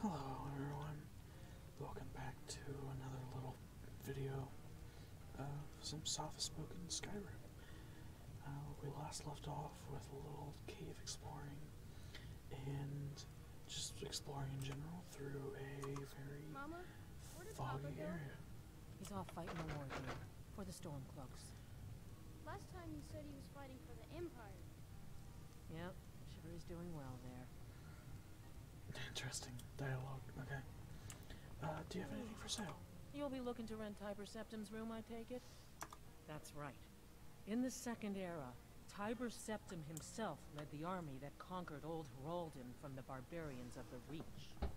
Hello everyone, welcome back to another little video of some soft-spoken Skyrim. Uh, we last left off with a little cave exploring and just exploring in general through a very foggy area. He's off fighting the war for the Stormcloaks. Last time you said he was fighting for the Empire. Yep, sure is doing well there. Interesting dialogue. Okay. Uh, do you have anything for sale? You'll be looking to rent Tiber Septum's room, I take it? That's right. In the Second Era, Tiber Septum himself led the army that conquered Old Heraldum from the barbarians of the Reach.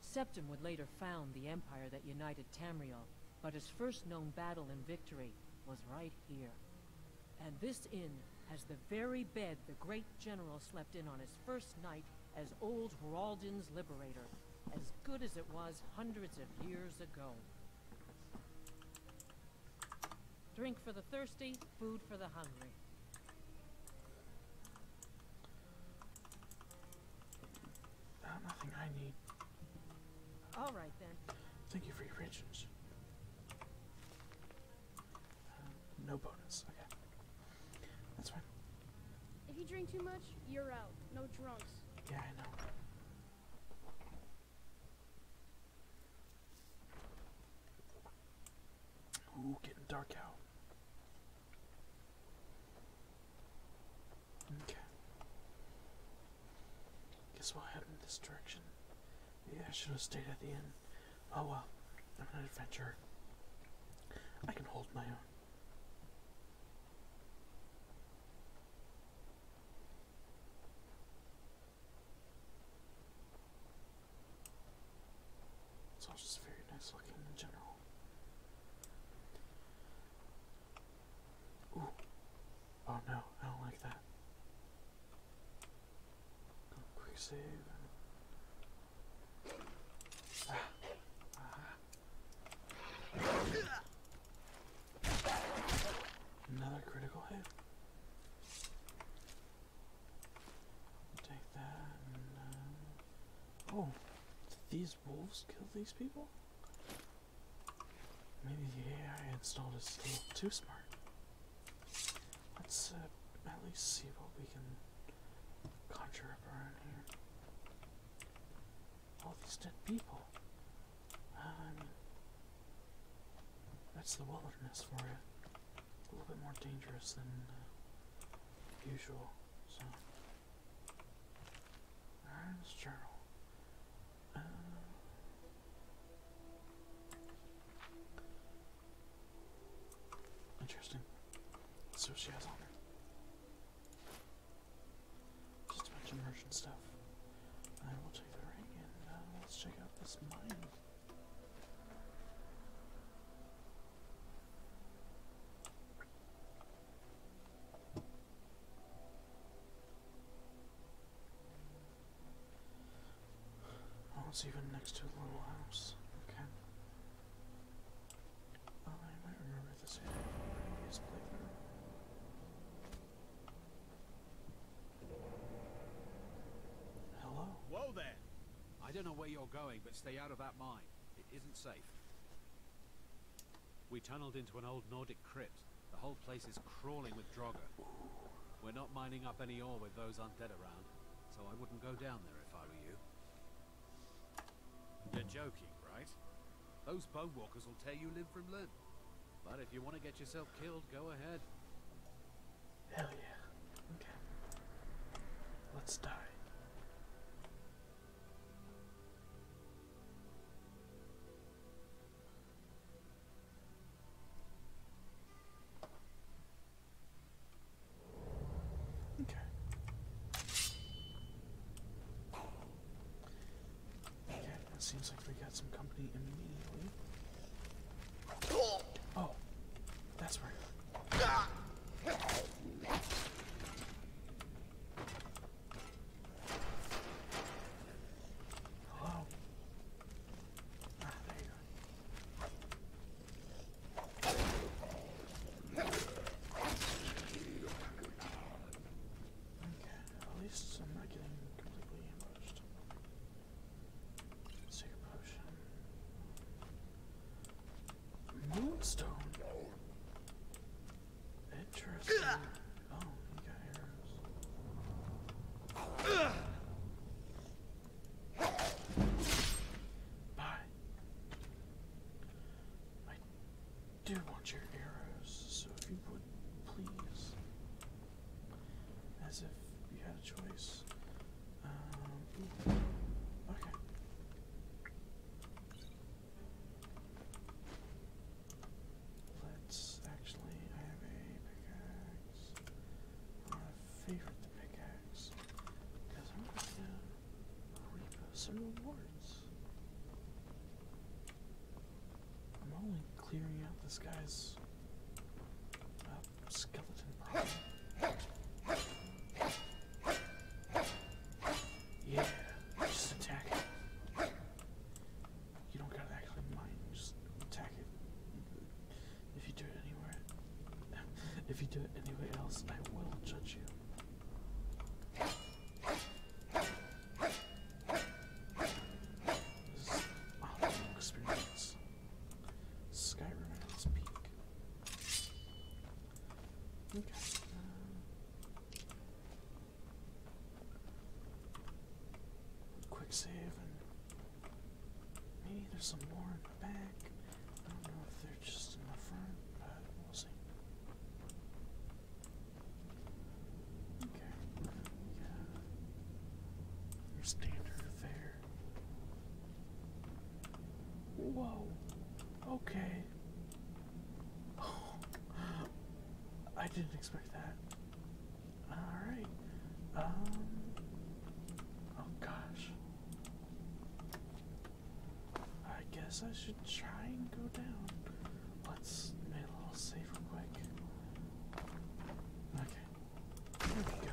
Septum would later found the empire that united Tamriel, but his first known battle and victory was right here. And this inn has the very bed the great general slept in on his first night as old Hraldin's liberator, as good as it was hundreds of years ago. Drink for the thirsty, food for the hungry nothing I need. All right then. Thank you for your patience. Uh, no bonus. Okay, that's fine. If you drink too much, you're out. No drunks. Yeah, I know. Ooh, getting dark out. Okay. Guess we'll head in this direction. Maybe I should have stayed at the inn. Oh well, I'm an adventurer. I can hold my own. It's all just very nice looking in general. Oh no, I don't like that. Quick save. Another critical hit. Take that uh, Oh, did these wolves kill these people? Maybe the AI installed is a little too smart. Let's uh, at least see what we can conjure up around here. All these dead people. Um, that's the wilderness for you. A little bit more dangerous than uh, usual, so. Aaron's journal. Uh, interesting. So she has on her. Just a bunch of merchant stuff. I will take the ring and uh, let's check out this mine. Oh, it's even next to the little house. Okay. Oh, I might remember this Hello? Whoa there! I don't know where you're going, but stay out of that mine. It isn't safe. We tunneled into an old Nordic crypt. The whole place is crawling with droga. We're not mining up any ore with those undead around, so I wouldn't go down there if I were you. You're joking, right? Those walkers will tear you limb from limb. But if you want to get yourself killed, go ahead. Hell yeah. Okay. Let's die. Okay. Okay, that seems like we got some company immediately. Oh, that's right. Hello? Ah, there you go. Okay, at least I'm not getting completely ambushed. Let's take a potion. Moonstone? Interesting. Oh, he got arrows. I do want your arrows, so if you would please. As if you had a choice. Um, okay. Let's actually, have a pickaxe. I want the pickaxe because I'm going to reap some rewards. I'm only clearing out this guy's uh, skeleton yeah, just attack it. You don't gotta actually mine, just attack it. If you do it anywhere, if you do it anywhere else, I will judge you. This is awesome experience. Skyrim at its peak. Okay. Uh, quick save maybe there's some more in the back. I don't know if they're just in the front, but we'll see. Okay. Your standard there. Whoa. Okay. Oh, I didn't expect that. Alright. Um. Oh gosh. I guess I should try and go down. Let's make a little save quick. Okay. Here we go.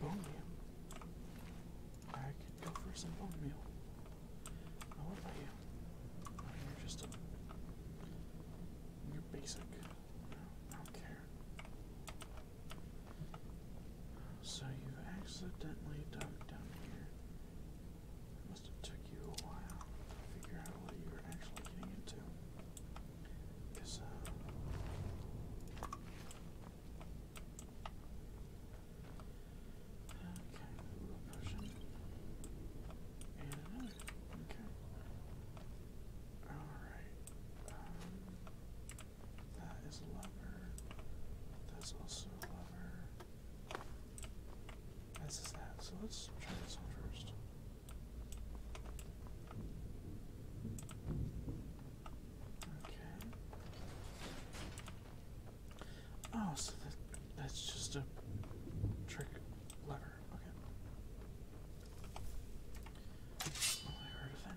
Bone meal. I could go for some bone meal. Now about you? you're just you're basic. I don't care. So you accidentally dumped down here. It took you a while to figure out what you were actually getting into. Uh, okay, Okay. Alright. Um, that is a That's also a as is that. So let's try this one first. Okay. Oh, so that's just a trick lever. Okay. Well, oh, I heard of that.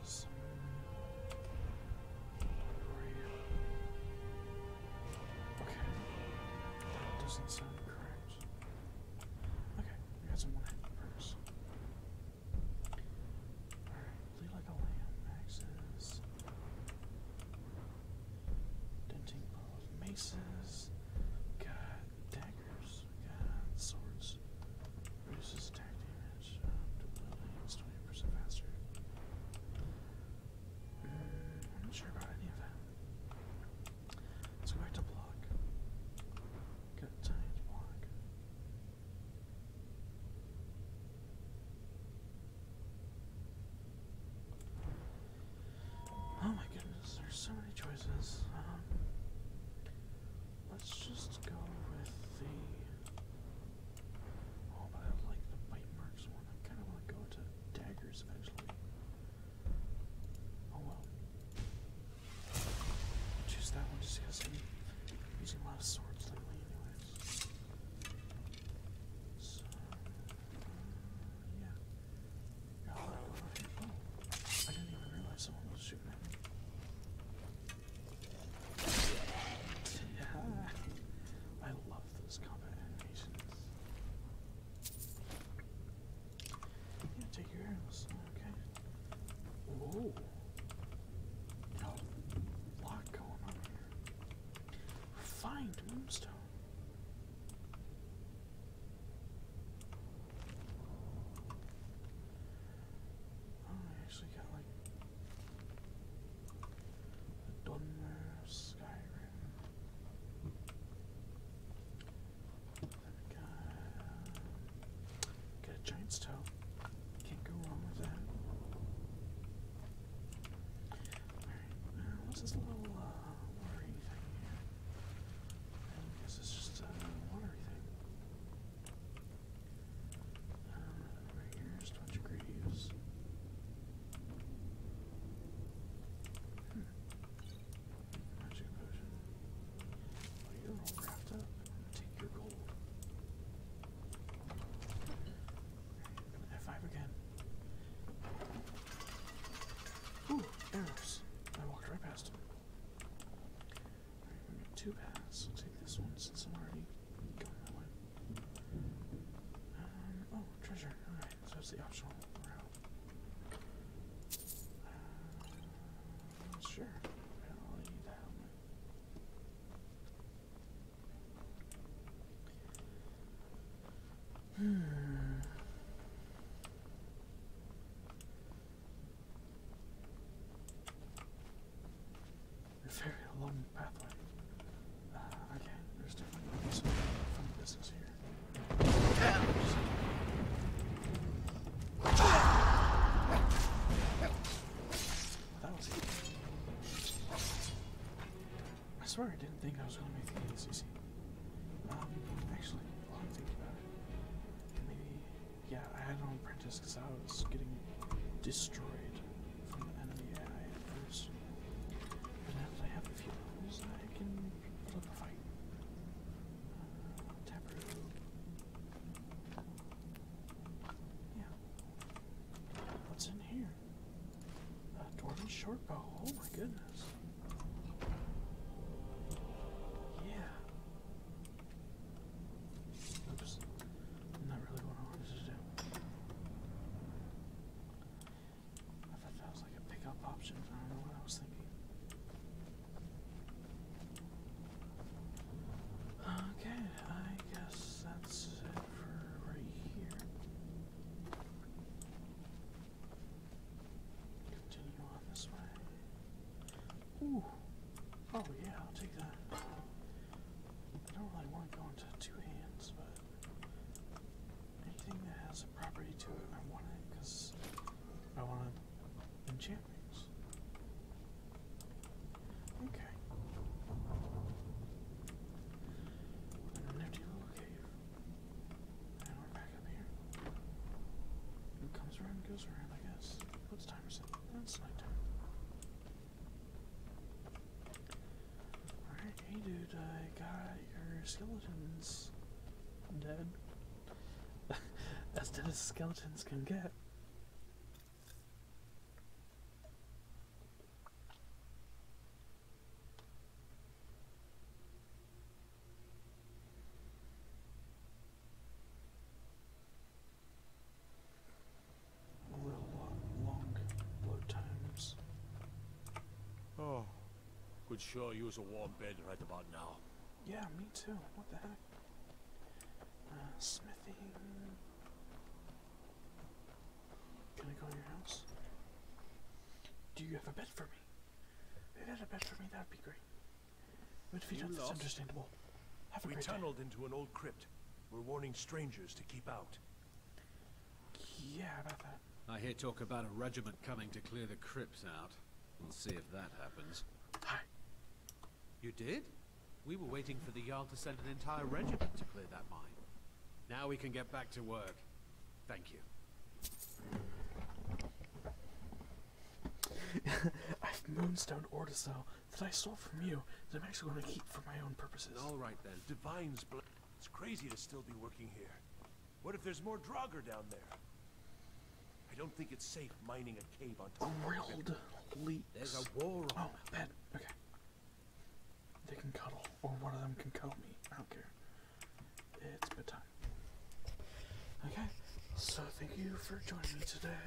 Okay. doesn't sound correct. Okay, we got some more perks. Alright, lead like a lamb, axes. Denting ball maces. Got daggers. Got swords. Reduces attack damage it's 20% um, faster. I'm not sure about any of that. Let's to block. Got time to block. Oh my goodness, there's so many choices. Um, Let's just go with the. Oh, but I like the bite marks one. I kind of want to go to daggers eventually. Oh well. choose that one just because I'm using a lot of swords lately, So, yeah. Oh, I didn't even realize someone was shooting I love those combat animations. take your arrows. Okay. Whoa. lot going on here. Find moonstone. Oh, I actually got like a Dunmer Skyrim. Then got, a giant's toe. Can't go wrong with that. Alright, now what's this little uh, watery thing just a watery thing. Um, right here is Twitch Greaves. Hmm. Potion. Oh, you all wrapped up. Take your gold. F5 again. Ooh, arrows. I walked right past him two paths. I'll take this one since I'm already going that way. Um, oh, treasure. Alright, so that's the optional route. Uh, sure. Hmm. A very long pathway. Uh, okay, there's different business here. that was easy. I swear I didn't think I was going to make the easy. Um, actually, while I'm thinking about it, maybe yeah, I had it on apprentice because I was getting destroyed from the enemy AI at first. I have a few levels, I can fight. Yeah. What's in here? A Dwarven Shortbow. Oh my goodness. Yeah. Oops. Not really what I wanted to do. I thought that was like a pickup option, I don't know what I was thinking. Okay, I guess that's it for right here. Continue on this way. Ooh. Oh yeah, I'll take that. I don't really want to go into two hands, but anything that has a property to it, I want it because I want to Okay. And little cave. And we're back up here. It comes around, goes around, I guess. What time is it? That's nighttime. Alright, hey dude, I got your skeletons dead. as dead as skeletons can get. We'll walk, walk, times. Oh, could sure use a warm bed right about now. Yeah, me too. What the heck? Uh, smithy. Can I go to your house? Do you have a bed for me? If you had a bed for me, that'd be great. But understandable. Have a we tunneled into an old crypt. We're warning strangers to keep out. Yeah, about that. I hear talk about a regiment coming to clear the crypts out. We'll see if that happens. Hi. You did? We were waiting for the yard to send an entire regiment to clear that mine. Now we can get back to work. Thank you. I've moonstoned ordesil that I stole from you that I'm actually going to keep for my own purposes. All right then, divine's blood. It's crazy to still be working here. What if there's more Draugr down there? I don't think it's safe mining a cave on top of a world. There's a war on Oh, bed. Okay. They can cuddle, or one of them can cuddle me. I don't care it's bedtime. Okay, so thank you for joining me today.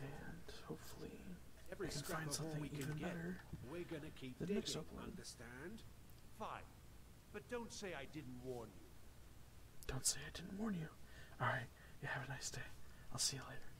And hopefully Every I can find something we even get, better we're gonna keep the digging, next upload. Understand? Fine. But don't say I didn't warn you. Don't say I didn't warn you. Alright, you have a nice day. I'll see you later.